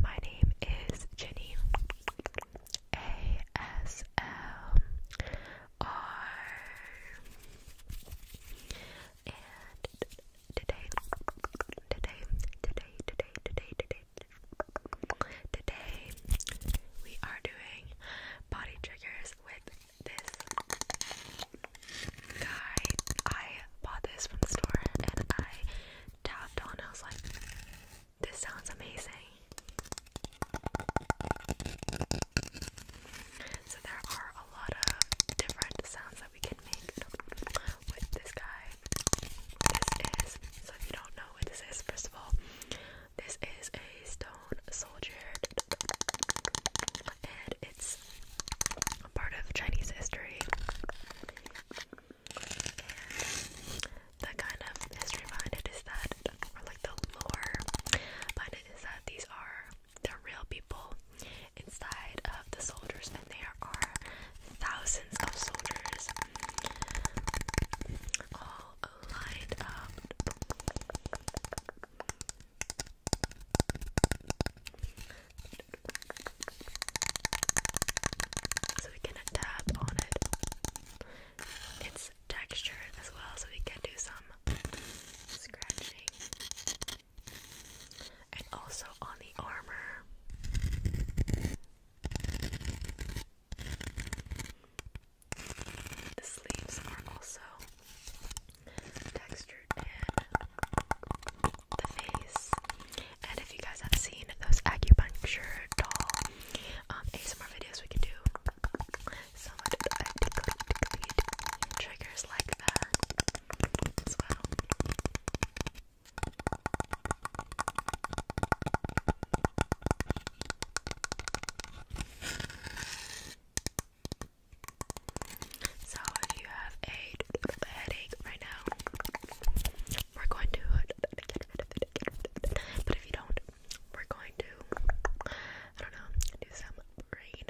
My name is Jenny A S L R, and today, today, today, today, today, today, today, we are doing body triggers with this guy. I bought this from the store and I tapped on. I was like, this sounds amazing. So there are a lot of different sounds that we can make with this guy. This is so if you don't know what this is, first of all, this is a stone soldier. And it's a part of Chinese history. the kind of history behind it is that, like the lore behind it is that these are the real people inside of the soldiers, and there are thousands of soldiers all lined up so we can tap on it. It's textured as well, so we can do some scratching. And also on the armor. The sleeves are also Texture and the face. And if you guys have seen those acupuncture doll um, some more videos, we can do some triggers like that as well. So if you have a headache right now, we're going to get rid of it. But if you don't, we're going to I don't know, do some brain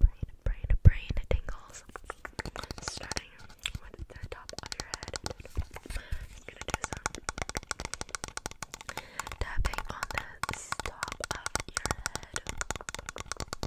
brain brain brain tingles. Starting with the top of your head. I'm gonna do some tapping on the top of your head.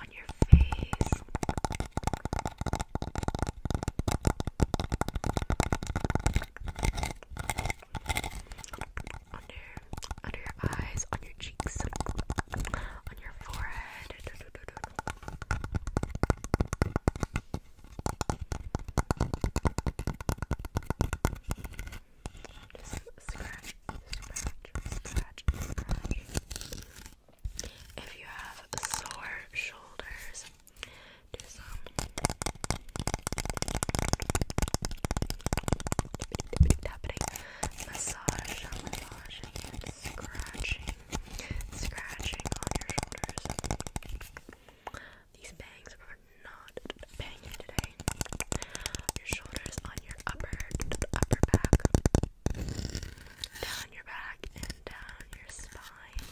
on your face. Under, under your eyes, on your cheeks, on your forehead scratch, scratch, scratch, If you have sore shoulders, do some. Massage, massaging, scratching, scratching on your shoulders. These bangs are not paying today. Your shoulders on your upper upper back, down your back and down your spine.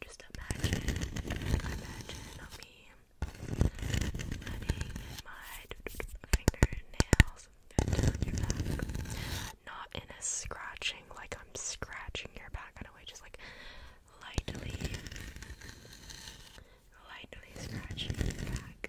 Just imagine, imagine me running my fingernails down your back. Not in a scratching, like I'm scratching your back in a way, just like lightly, lightly scratching your back.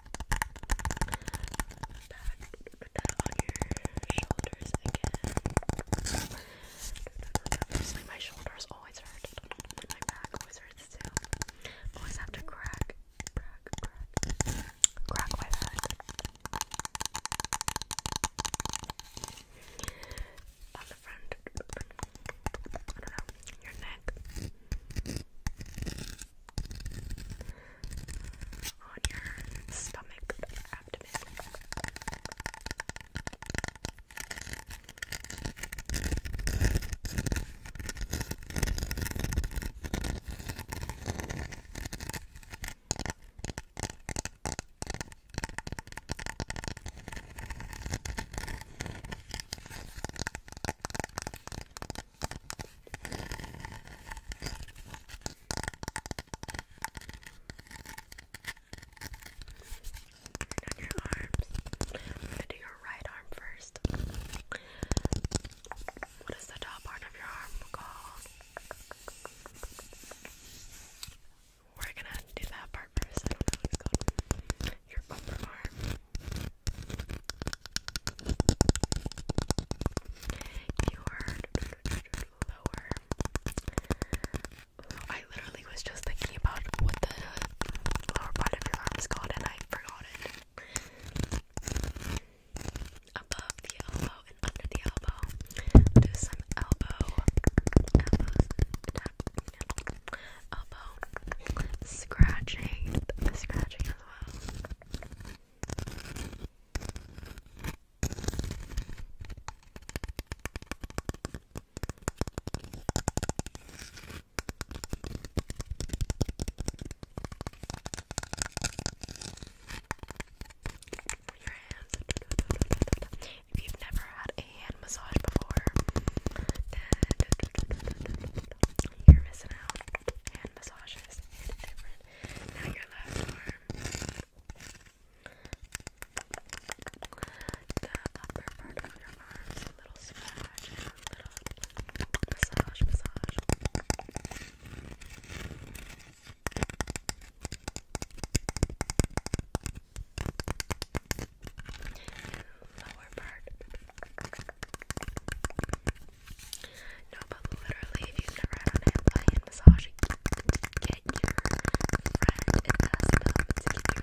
that on your shoulders again. my shoulders always hurt. my back always hurts too. Always have to crack, crack, crack, crack my back. On the front, I don't know, your neck on your stomach, abdomen. And on gonna do your right arm first. What is the top part of your arm called? We're gonna do that part first your upper arm. Your lower. I literally was just thinking about what the lower part of your arm is called, and I forgot it. Above the elbow and under the elbow. Do some elbow, elbows, elbow, scratching, scratching your If you've never had a hand massage before, then you're missing out. Hand massages, and different. Now your left arm. The upper part of your arm is a little scratch and a little massage, massage lower No, but literally, if you've never had a hand by massage, get your friend and ask them to get massage.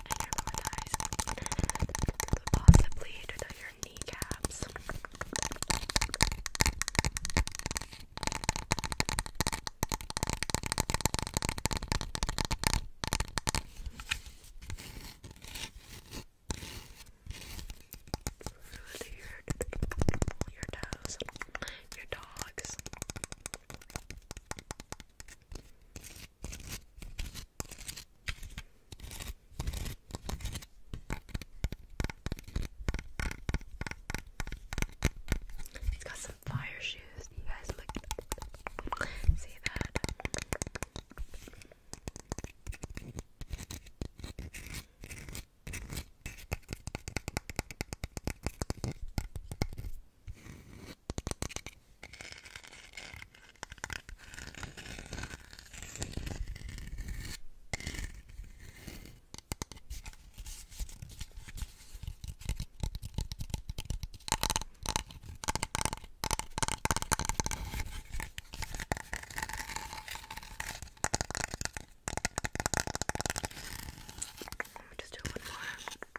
and your thighs, possibly to your kneecaps. Really your, your toes, your dogs. He's got some fire shoes. You guys look see that? Let me just do one more.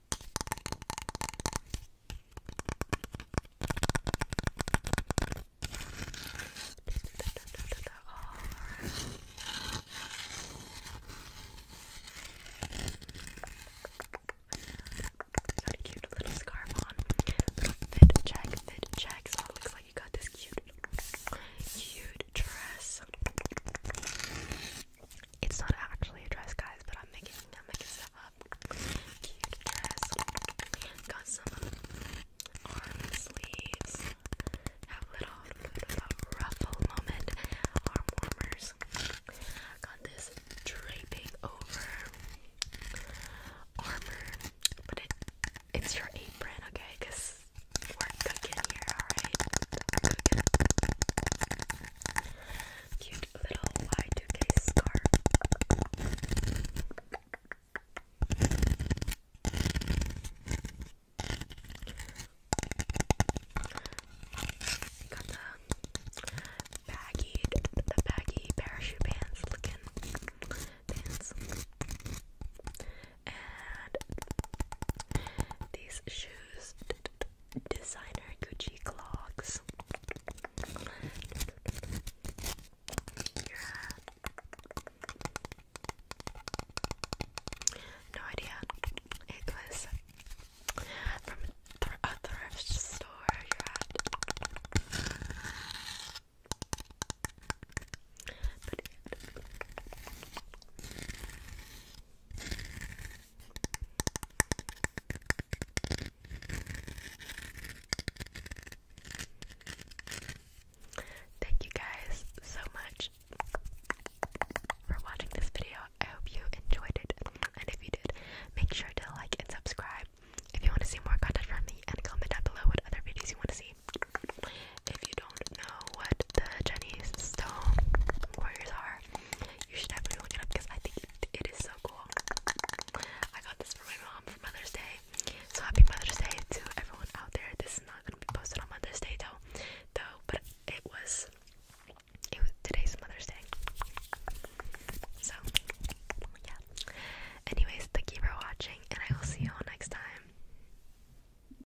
Got a cute little scarf on. Little fit check, fit check. So it looks like you got this cute, cute dress. It's not actually a dress, guys, but I'm making I'm up. Cute dress. Got some arm sleeves. Have little, ruffle moment. Arm Got this draping over armor, but it it's your apron, okay? guys. We're cooking here, alright? Cute little y 2 scarf. Got the baggy, the baggy parachute pants looking pants and these shoes, designer Gucci clogs. No idea. It from a thrift store you're Thank you guys so much for watching this video. I hope you enjoyed it. And if you did, make sure to like and subscribe if you want to see more content from me and comment down below what other videos you want to see. If you don't know what the Chinese stone are, you should definitely look it up because I think it is so cool. I got this for my mom for Mother's Day. So happy Mother's Day to everyone out there. This is not gonna be posted on Mother's Day though though, but it was it was today's Mother's Day. So yeah. Anyways, thank you for watching and I will see you all next time.